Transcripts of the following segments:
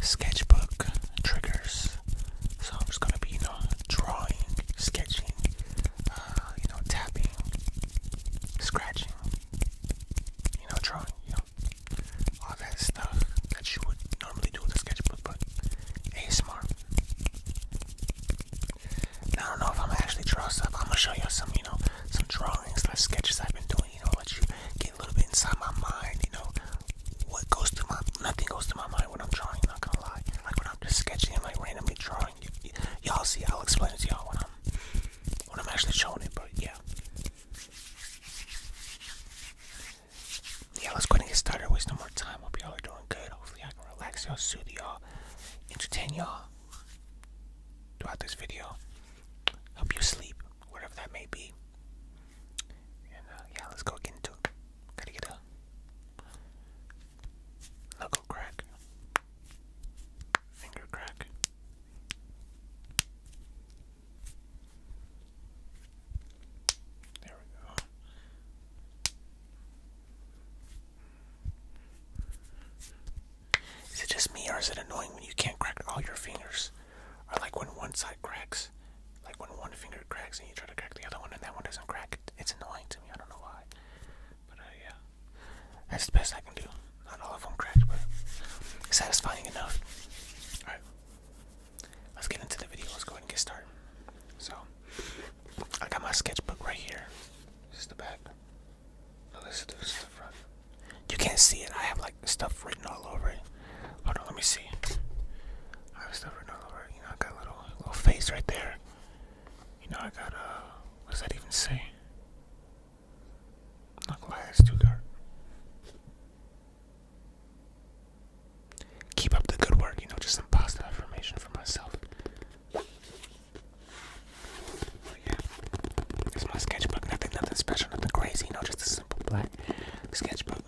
sketchbook triggers. So I'm just gonna be, you know, drawing, sketching, uh, you know, tapping, scratching, you know, drawing, you know, all that stuff that you would normally do with a sketchbook, but ASMR. Now I don't know if I'm gonna actually draw stuff. I'm gonna show you some, you know, some drawings, like sketches I've been doing you know, let you get a little bit inside my mind, you know. What goes to my nothing goes to my mind when I'm drawing, not gonna lie. Like when I'm just sketching and like randomly drawing, y'all see, I'll explain it to y'all when I'm when I'm actually showing it, but yeah. Yeah, let's go and get started. Waste no more time. Hope y'all are doing good. Hopefully I can relax y'all, soothe y'all, entertain y'all throughout this video. Help you sleep, whatever that may be. Uh, yeah, let's go get into Gotta get a knuckle crack, finger crack. There we go. Is it just me, or is it annoying when you can't crack all your fingers? Or like when one side cracks, like when one finger cracks and you try to crack the other one and that one doesn't crack. It's annoying to me. I don't know why. But uh, yeah, that's the best I can do. Not all of them cracked, but satisfying enough. All right, let's get into the video. Let's go ahead and get started. So I got my sketchbook right here. This is the back. No, this is the front. You can't see it. I have like stuff written all over it. Hold on, let me see. I was never know, you know, I got a little little face right there. You know, I got uh, what does that even say? Not gonna lie, it's too dark. Keep up the good work, you know, just some positive affirmation for myself. yeah, it's my sketchbook. Nothing, nothing special, nothing crazy. You know, just simple black sketchbook.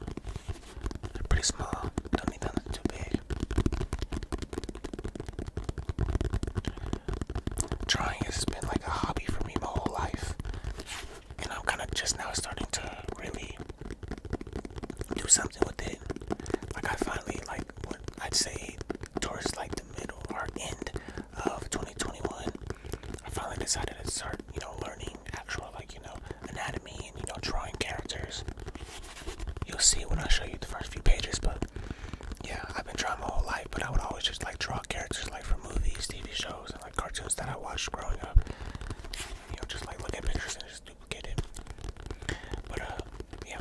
They're pretty small, don't need nothing too big. Drawing has been like a hobby for me my whole life, and I'm kind of just now starting to really do something with it. Like I finally like what I'd say towards like the middle or end of 2021, I finally decided to start, you know, learning actual, like, you know, anatomy and, you know, drawing characters, you'll see when I show you the first few pages. But yeah, I've been drawing my whole life, but I would always just like draw characters like from movies, TV shows, and like cartoons that I watched growing up. You know, just like looking pictures and just duplicating. But, uh, yeah.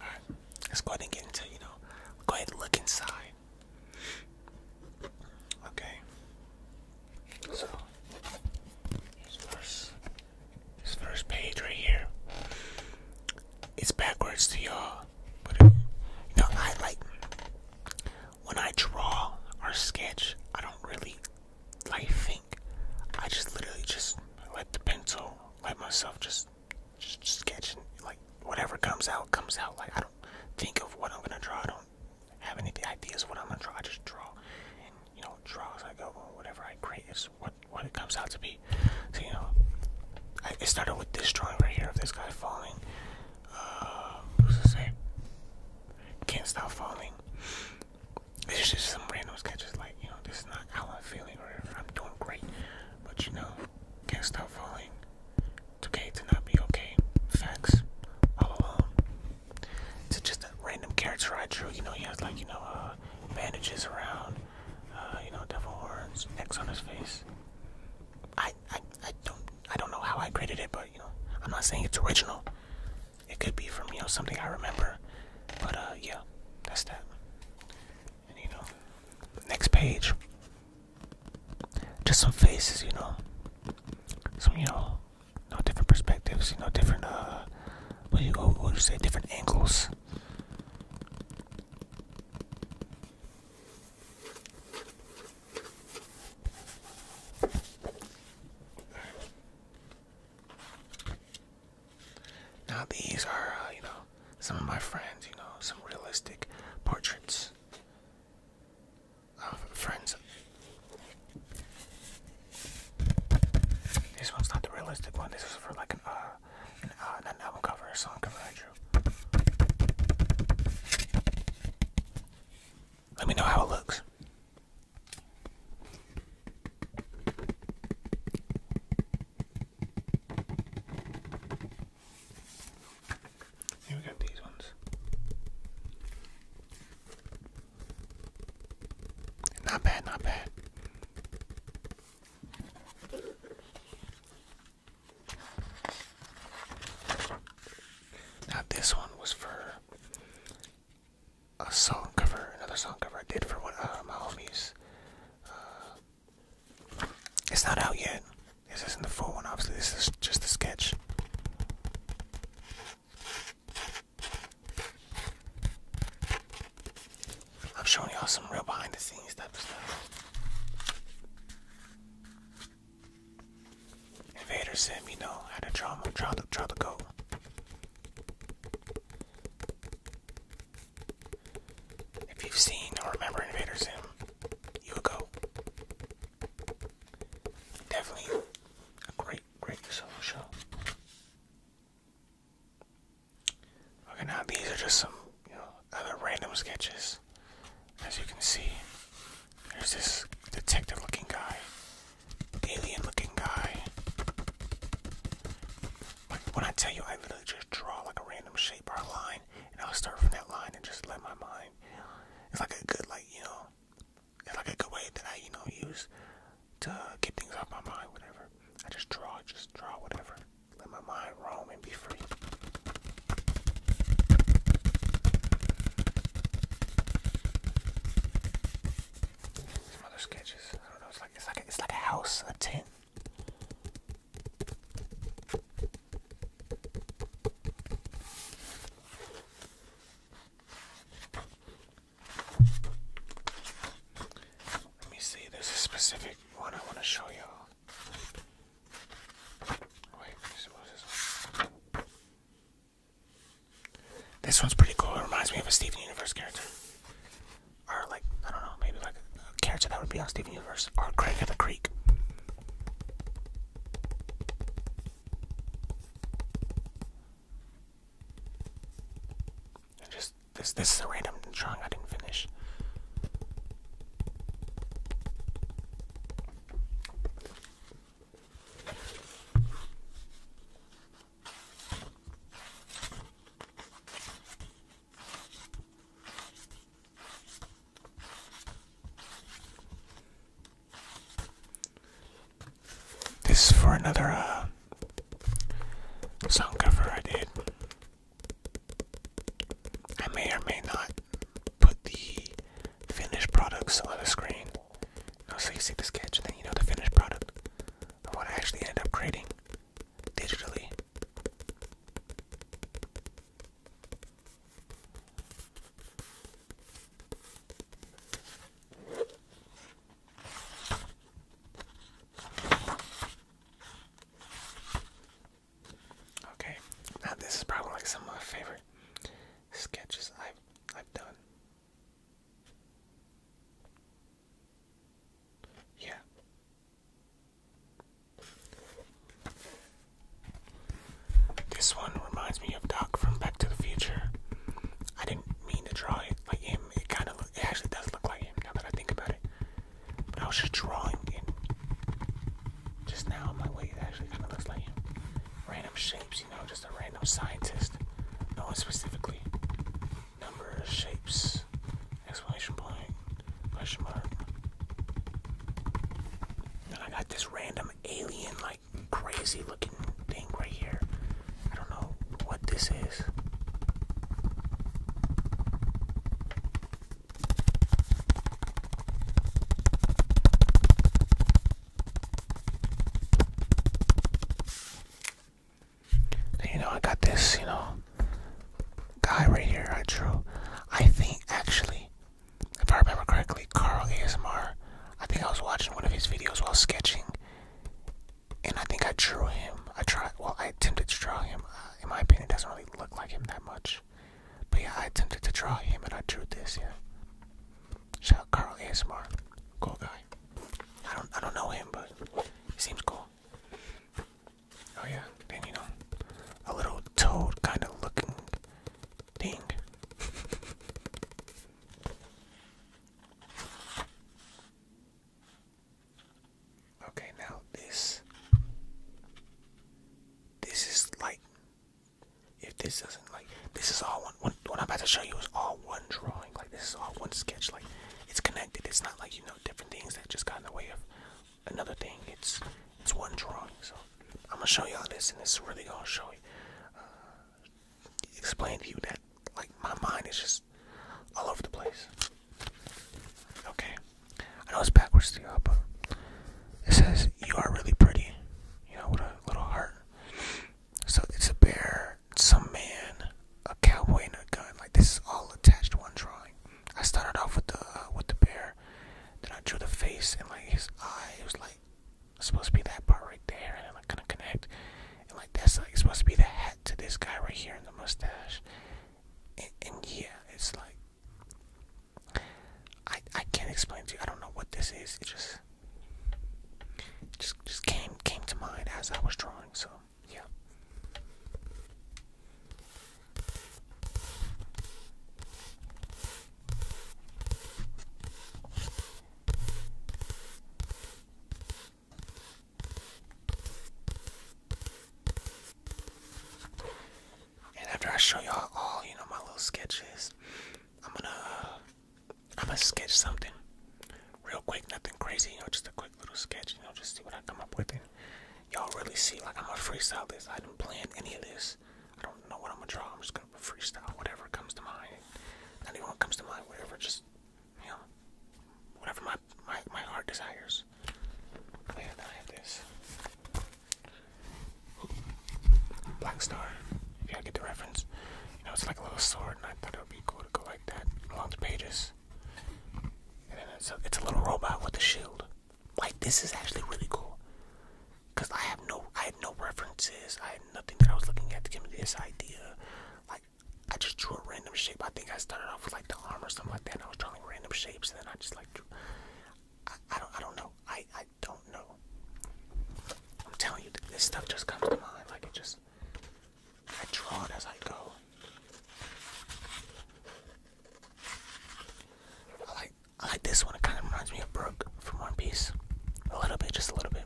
Alright, let's go ahead and get into, you know, go ahead and look inside. Okay. So his first page right here. It's backwards to y'all. But you know, I like when I draw or sketch, I don't really like think. I just literally just let the pencil, let myself just, just, sketch and like whatever comes out comes out. Like I don't think of what I'm gonna draw. I don't have any ideas what I'm gonna draw. I just draw and you know Draws I go. Whatever I create is what what it comes out to be. So you know, I, started with this drawing right here of this guy falling uh, who's to say? Can't stop falling. It's just some random sketches like, you know, this is not how I'm feeling or I'm doing great. But you know, can't stop falling. It's okay to not be okay. Facts. All alone. It's just a random character I drew. You know, he has like, you know, uh, bandages around, uh, you know, devil horns, X on his face. I I, I don't I don't know how I created it, but you know, I'm not saying it's original. It could be from you know something I remember, but uh, yeah, that's that. And you know, next page, just some faces, you know, some you know, no different perspectives, you know, different uh, what do you what would you say, different angles. Now these are, uh, you know, some of my friends, you know, some realistic portraits of friends. This one's not the realistic one. This was for like an uh, an, uh, an album cover, a song cover I drew. Let me know how it looks. Here we got these ones. Not bad, not bad. Now, this one was for a song cover, another song cover I did for one of my homies. Uh, it's not out yet. This isn't the full one, obviously. This is just a sketch. I'm showing y'all some real behind the scenes type stuff. Invader sent you know how to draw my draw the draw the If you've seen or remember Invader Sim, you would go. Definitely a great, great solo show. Okay, now these are just some, you know, other random sketches, as you can see. There's this detective looking guy. Alien looking guy. Like when I tell you I literally just draw like a random shape or a line and I'll start from that line and just let my mind it's like a good like, you know it's like a good way that I, you know, use to get things off my mind, whatever. I just draw, just draw whatever. Let my mind roam and be free. Some other sketches. I don't know. It's like it's like it's like a house, a tent. Let me see. There's a specific one I want to show y'all. Wait, what is this one? This one's pretty cool. It reminds me of a Steven Universe character. Or, like, I don't know, maybe like a character that would be on Steven Universe. Or Craig of the Creek. just, this, this is a random drawing I didn't finish. This is for another uh, song cover I did. I may or may not put the finished products on the screen. so you see the sketch and then you know the finished product of what I actually end up creating digitally. Okay, now this is probably some of my favorite sketches I've I've done. Yeah. This one reminds me of Doc from Back to the Future. I didn't mean to draw it like him. It kind of, it actually does look like him now that I think about it. But I was just drawing it just now on my way. actually kind of looks like him. Random shapes you know, just a random scientist. No one specifically. Numbers, shapes, Explanation point, question mark. Then I got this random alien, like crazy looking thing right here. I don't know what this is. You know, I got this, you know, guy right here I drew. I think, actually, if I remember correctly, Carl ASMR, I think I was watching one of his videos while sketching, and I think I drew him. I tried, well, I attempted to draw him. Uh, in my opinion, it doesn't really look like him that much. But yeah, I attempted to draw him, and I drew this, yeah. Shout out Carl ASMR. Cool guy. I don't I don't know him but he seems cool. Oh yeah, then you know. A little toad kinda looking thing. okay, now this this is like if this doesn't like this is all one, one what I'm about to show you is all one drawing like this is all one sketch like it's connected it's not like you know different things that just got in the way of another thing it's it's one drawing so I'm gonna show y'all this and this is really gonna show you uh, explain to you that like my mind is just all over the place okay I know it's backwards to y'all but it says you are really pretty you know with a little heart so it's a bear, some man, a cowboy, and a gun. Like this is all attached to one drawing. I started off with the uh, with the bear, then I drew the face and like his eye. It was like it's supposed to be that part right there, and then like gonna connect. And like that's like it's supposed to be the hat to this guy right here in the mustache. And, and yeah, it's like I I can't explain to you. I don't know what this is. It just just just came came to mind as I was drawing. So yeah. And after I show y'all all, you know, my little sketches, I'm gonna uh, I'm gonna sketch something real quick, nothing crazy, you know, just a quick little sketch, you know, just see what I come up with. And y'all really see, like, I'm a freestyle this. I didn't plan any of this. I don't know what I'm gonna draw. I'm just gonna freestyle whatever comes to mind. Not even comes to mind, whatever, just, you know, whatever my, my, my heart desires. Oh, yeah, this. Black Star, if y'all get the reference. You know, it's like a little sword, and I thought it would be cool to go like that along the pages. And then it's a, it's a little robot with a shield. Like, this is actually really cool. Because I have no, I had no references. I had nothing that I was looking at to give me this idea. Like, I just drew a random shape. I think I started off with like the arm or something like that. I was drawing random shapes, and then I just like I, don't, I don't know. I, don't know. I'm telling you, this stuff just comes to mind. Like it just, I draw it as I go. I like, I like this one. It kind of reminds me of Brooke from One Piece, a little bit, just a little bit.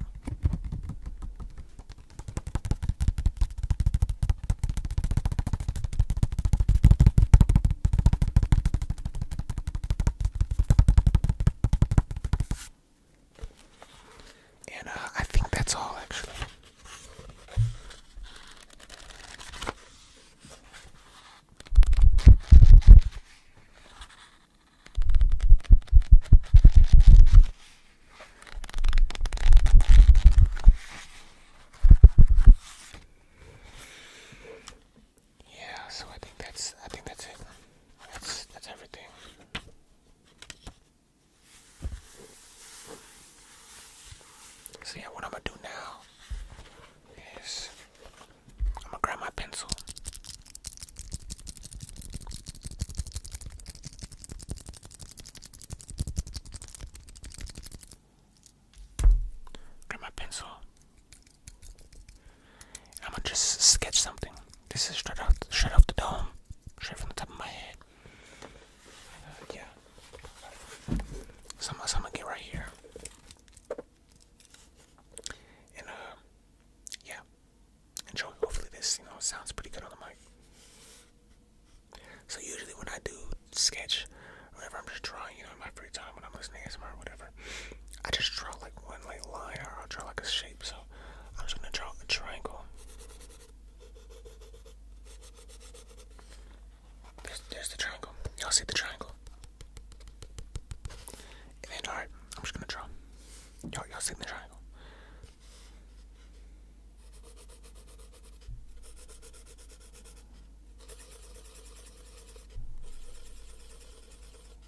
And uh, I think that's all actually. Yeah, so I think that's I think that's it. That's that's everything. So yeah, what I'm gonna do now is I'm gonna grab my pencil. Grab my pencil. I'm gonna just sketch something. This is straight off, straight off the dome, straight from the top of my head. Uh, yeah. So I'm, gonna get right here. And uh, yeah, enjoy. Hopefully this, you know, sounds pretty good on the mic. So usually when I do sketch, whenever I'm just drawing, you know, in my free time when I'm listening to ASMR or whatever, I just draw like one like line or I'll draw like a shape, so I'm just gonna draw a triangle. There's, there's the triangle. Y'all see the triangle? And alright, I'm just gonna draw. Y'all, y'all see the triangle?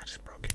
I just broke it.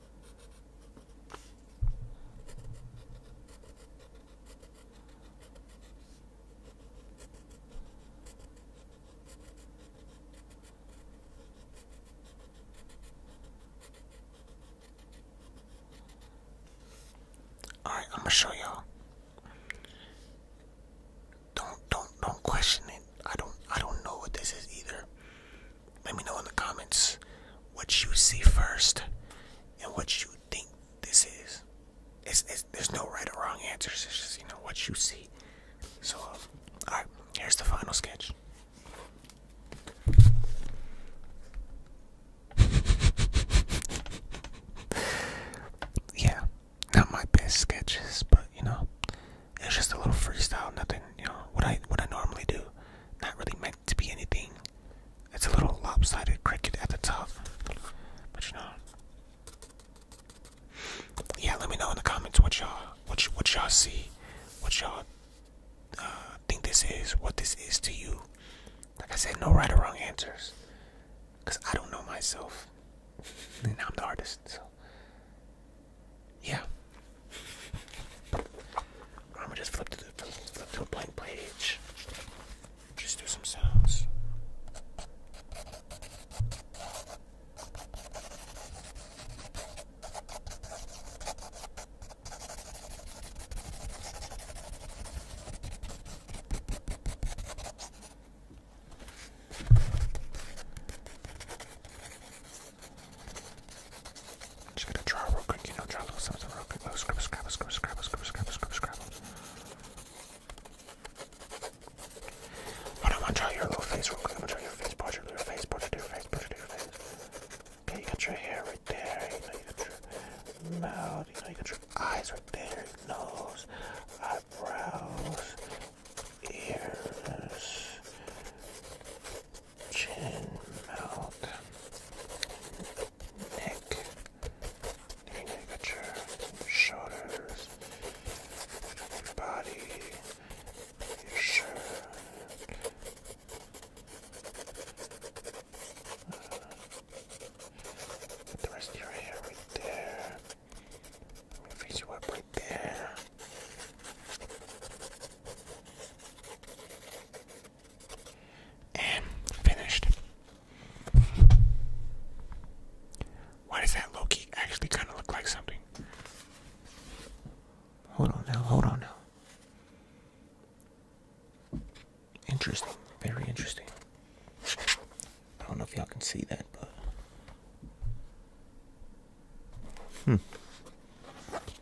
Alright, I'm gonna show y'all. Don't don't don't question it. I don't I don't know what this is either. Let me know in the comments what you see first and what you think this is. there's no right or wrong answers. It's just you know what you see. So, um, all right. Here's the final sketch. yeah, not my best sketches, but you know, it's just a little freestyle. Nothing, you know, what I what I normally do. Not really meant to be anything. It's a little lopsided cricket at the top, but you know. Yeah, let me know in the comments what y'all, what what y'all see, what y'all uh, think this is, what this is to you. Like I said, no right or wrong answers, cause I don't know myself, and I'm the artist. So, yeah. I'm gonna just flip to the flip to a blank page. Just do some sounds. I'm just gonna draw real quick, you know, draw a little something real quick. Oh, scribble, scribble, scribble, scribble, scribble, scribble, scribble, scribble. Hold on, I'm gonna draw your little face real quick. I'm gonna draw your face portrait, your face portrait, your face portrait, your face. Okay, you got your hair right there, you know, you got your mouth, you know, you got your eyes right there, nose, eyebrows, ears chin mouth, neck, knee shoulders, body, your shirt, uh, the rest of your hair right there. Let me face you up right there. Am finished. Why does that Loki actually kind of look like something? Hold on now, hold on now. Interesting, very interesting. I don't know if y'all can see that, but. Hmm.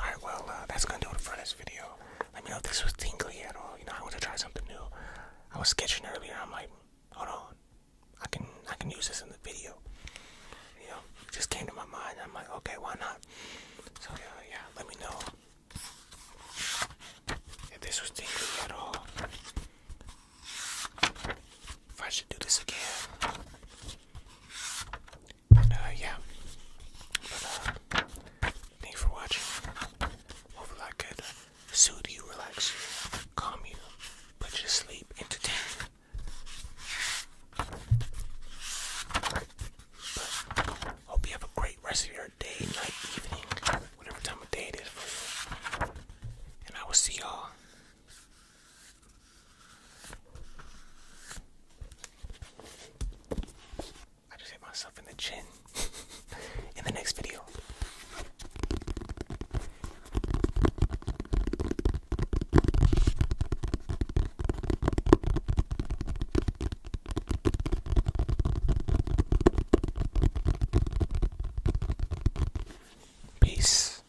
Alright, well, uh, that's gonna do it for this video. Let me know if this was tingly at all. You know, I want to try something new. I was sketching earlier. I'm like, hold on, I can I can use this in the video. You know, just came to my mind. I'm like, okay, why not? So uh, yeah, let me know if this was tingly at all if I should do this again. Uh, yeah. But, uh, for watching. Hopefully, I could soothe you, relax you, calm you, put you to sleep, entertain hope you have a great rest of your day, night, evening, whatever time of day it is And I will see y'all I just hit myself in the chin in the next video. Peace.